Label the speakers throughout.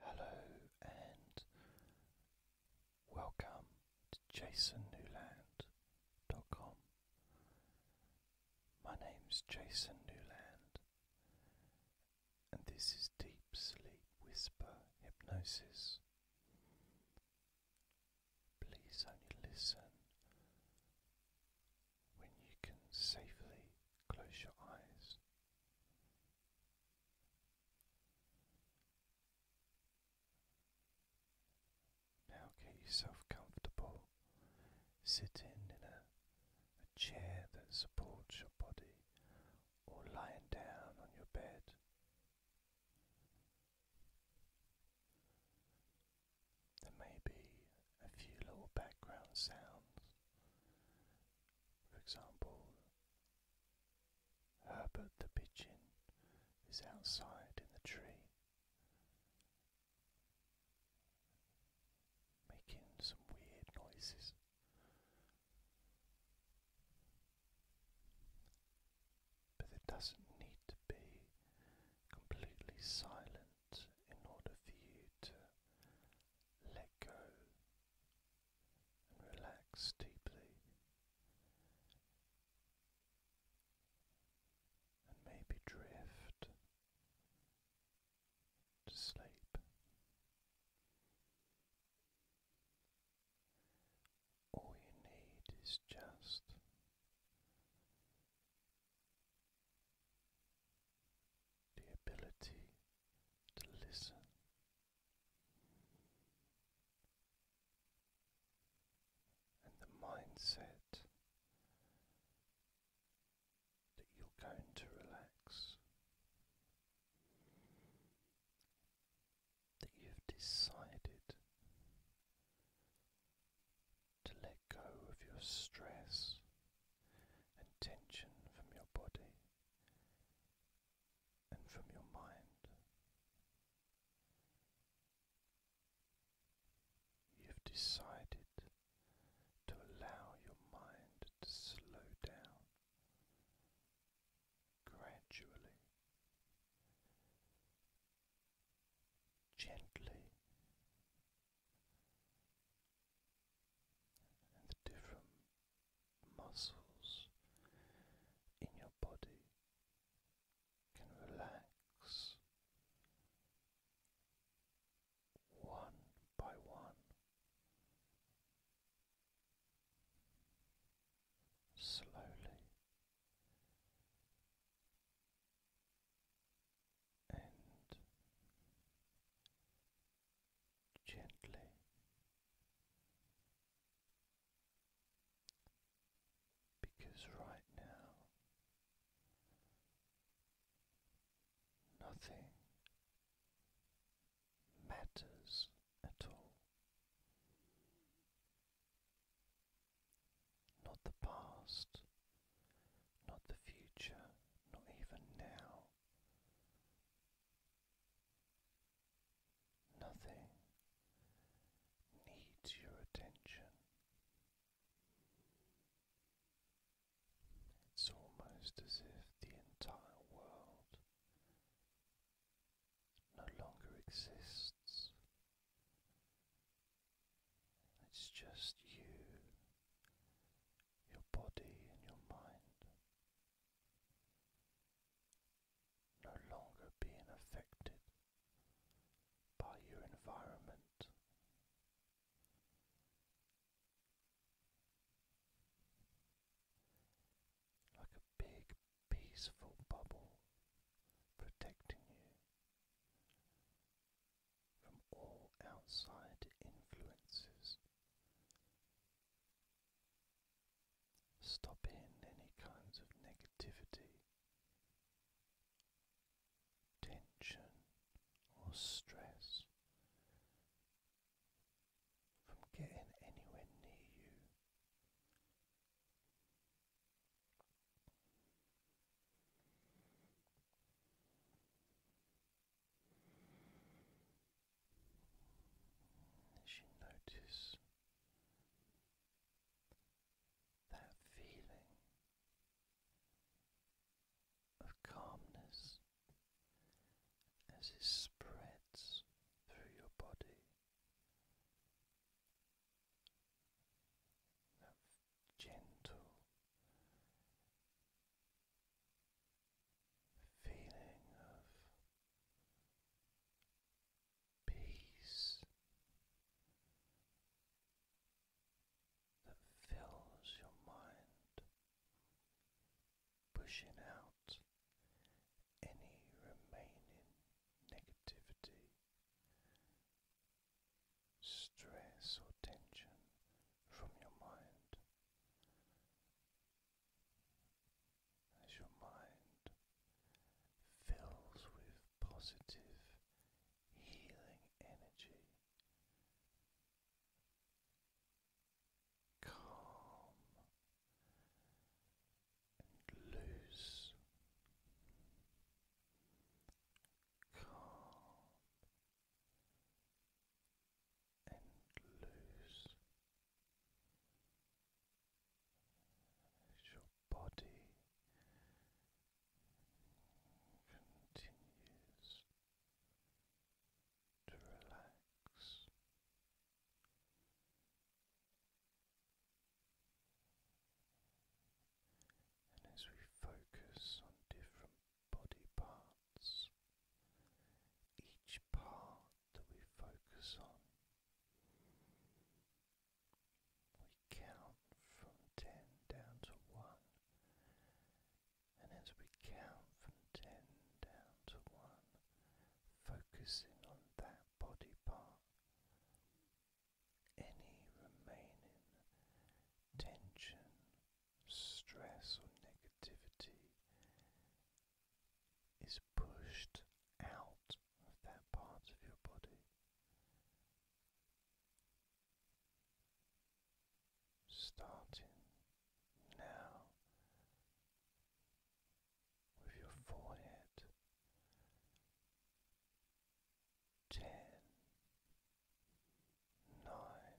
Speaker 1: Hello and welcome to jasonnewland.com. My name's Jason Newland, and this is Deep Sleep Whisper Hypnosis. Please only listen when you can safely close your eyes. Now get yourself comfortable. Sitting in a, chair that supports your body or lying down on your bed. There may be a few little background sounds. For example, Herbert the pigeon is outside in the tree, making some weird noises. But it doesn't need to be completely silent in order for you to let go and relax deeply. And maybe drift to sleep, all you need is just the ability to listen. And the mindset that you're going to relax, that you've decided to let go of your stress and tension from your body and from your mind. You've decided to allow your mind to slow down gradually, gently. And different muscles in your body can relax one by one, slowly gently. Because right now nothing matters at all. Not the past, not the future, not even now, Nothing needs your attention. It's almost as if the entire world no longer exists. It's just you, your body, and your mind no longer being affected by your environment. Like a big, peaceful bubble protecting you from all outside influences. Stop in any kinds of negativity, tension, or stress from getting anywhere near you. As you notice that feeling of calmness as it spreads through your body, that gentle feeling of peace that fills your mind, pushing out any remaining negativity, stress, or tension from your mind as your mind fills with positive healing energy. Calm and loose, calm and loose your body continues to relax. And as we focus on different body parts. Each part that we focus on, we count from ten down to one, and as we count from ten down to one, focusing on that body part, any remaining tension stress or negativity is pushed out of that part of your body. Starting now with your forehead, ten, nine,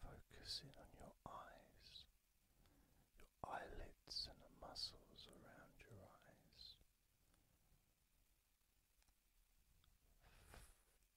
Speaker 1: Focusing on your eyes, your eyelids, and the muscles around your eyes.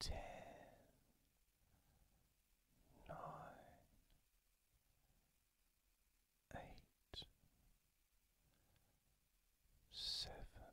Speaker 1: Ten, nine, eight, seven,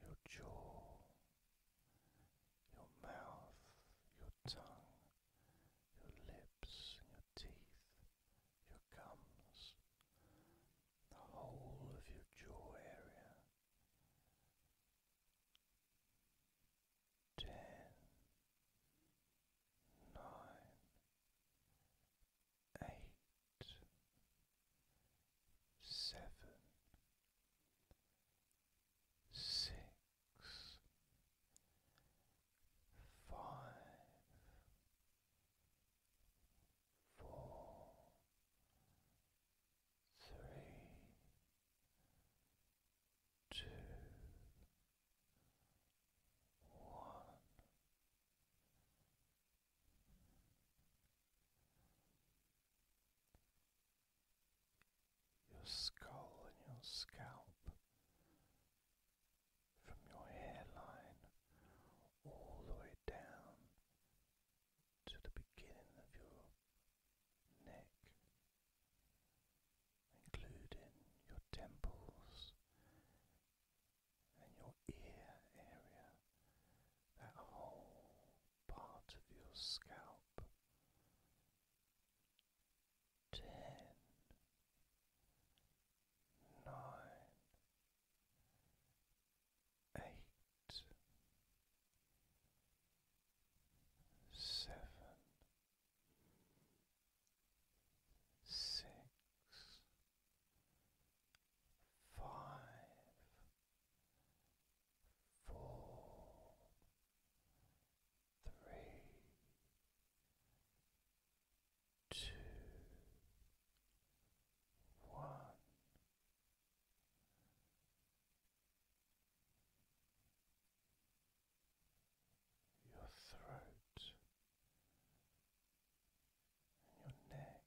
Speaker 1: your jaw, your mouth, your tongue, your lips, your teeth, your gums, the whole of your jaw area. Ten, nine, eight, seven, six, five, four, three, two, one your skull and your scalp, from your hairline all the way down to the beginning of your neck, including your temples and your ear area, that whole part of your scalp. Ten, nine, eight, seven, six, five, four, three, two, one. Your throat and your neck,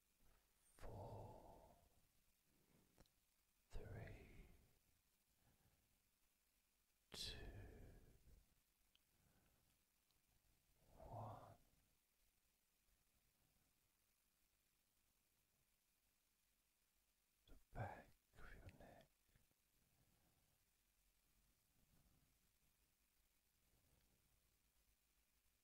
Speaker 1: four, three, two, one. The back of your neck.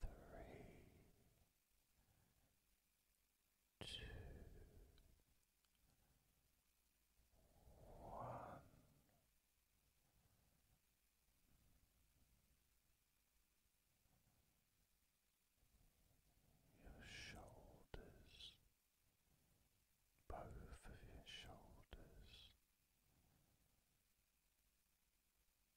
Speaker 1: three, two, one. Your shoulders, both of your shoulders,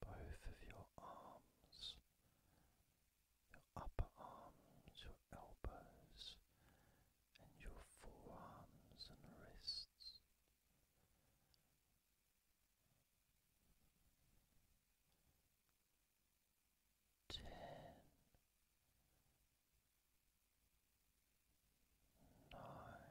Speaker 1: both of your arms, your upper arms, your elbows, and your forearms and wrists. Ten, nine,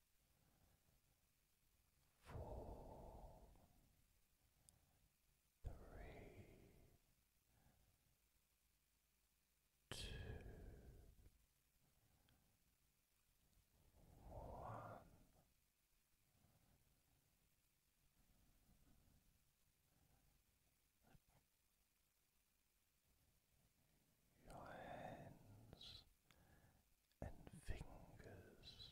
Speaker 1: four, three, two, one. Your hands and fingers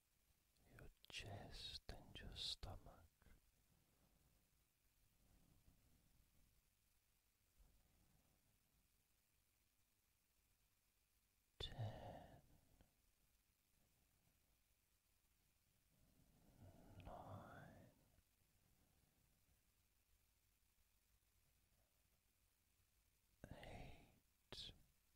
Speaker 1: your chest and your stomach. Ten, nine, eight.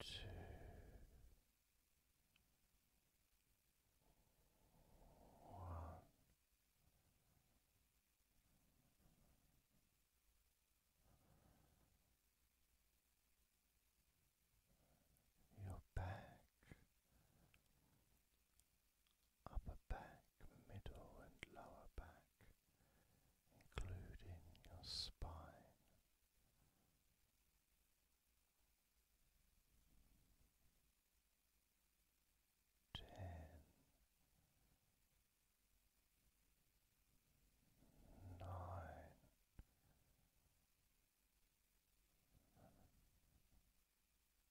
Speaker 1: two, one. Your back upper back, middle, and lower back, including your spine. Ten, nine,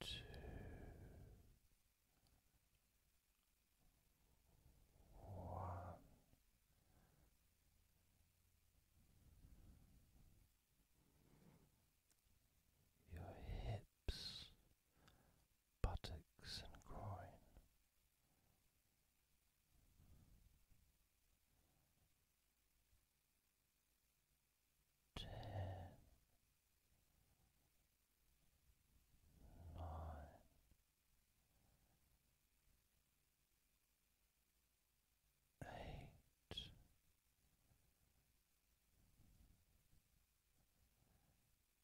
Speaker 1: three. your hips buttocks and groin. Ten, nine, eight,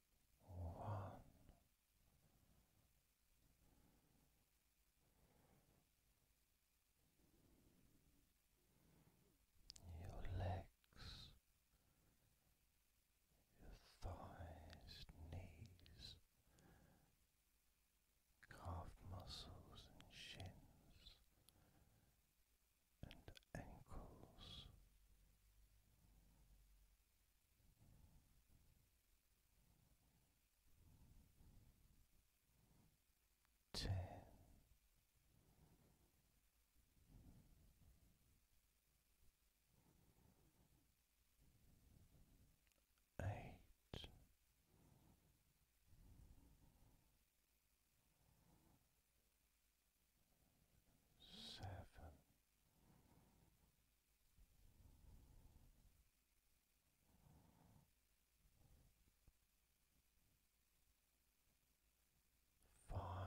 Speaker 1: one. Your legs, your thighs, knees, calf muscles, and shins and ankles. Ten. Eight seven. Five, four,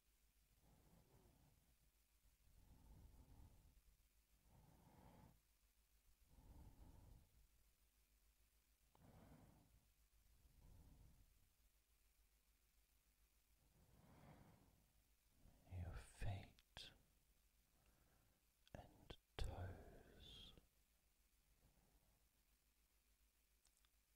Speaker 1: your feet and toes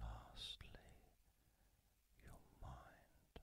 Speaker 1: Lastly, your mind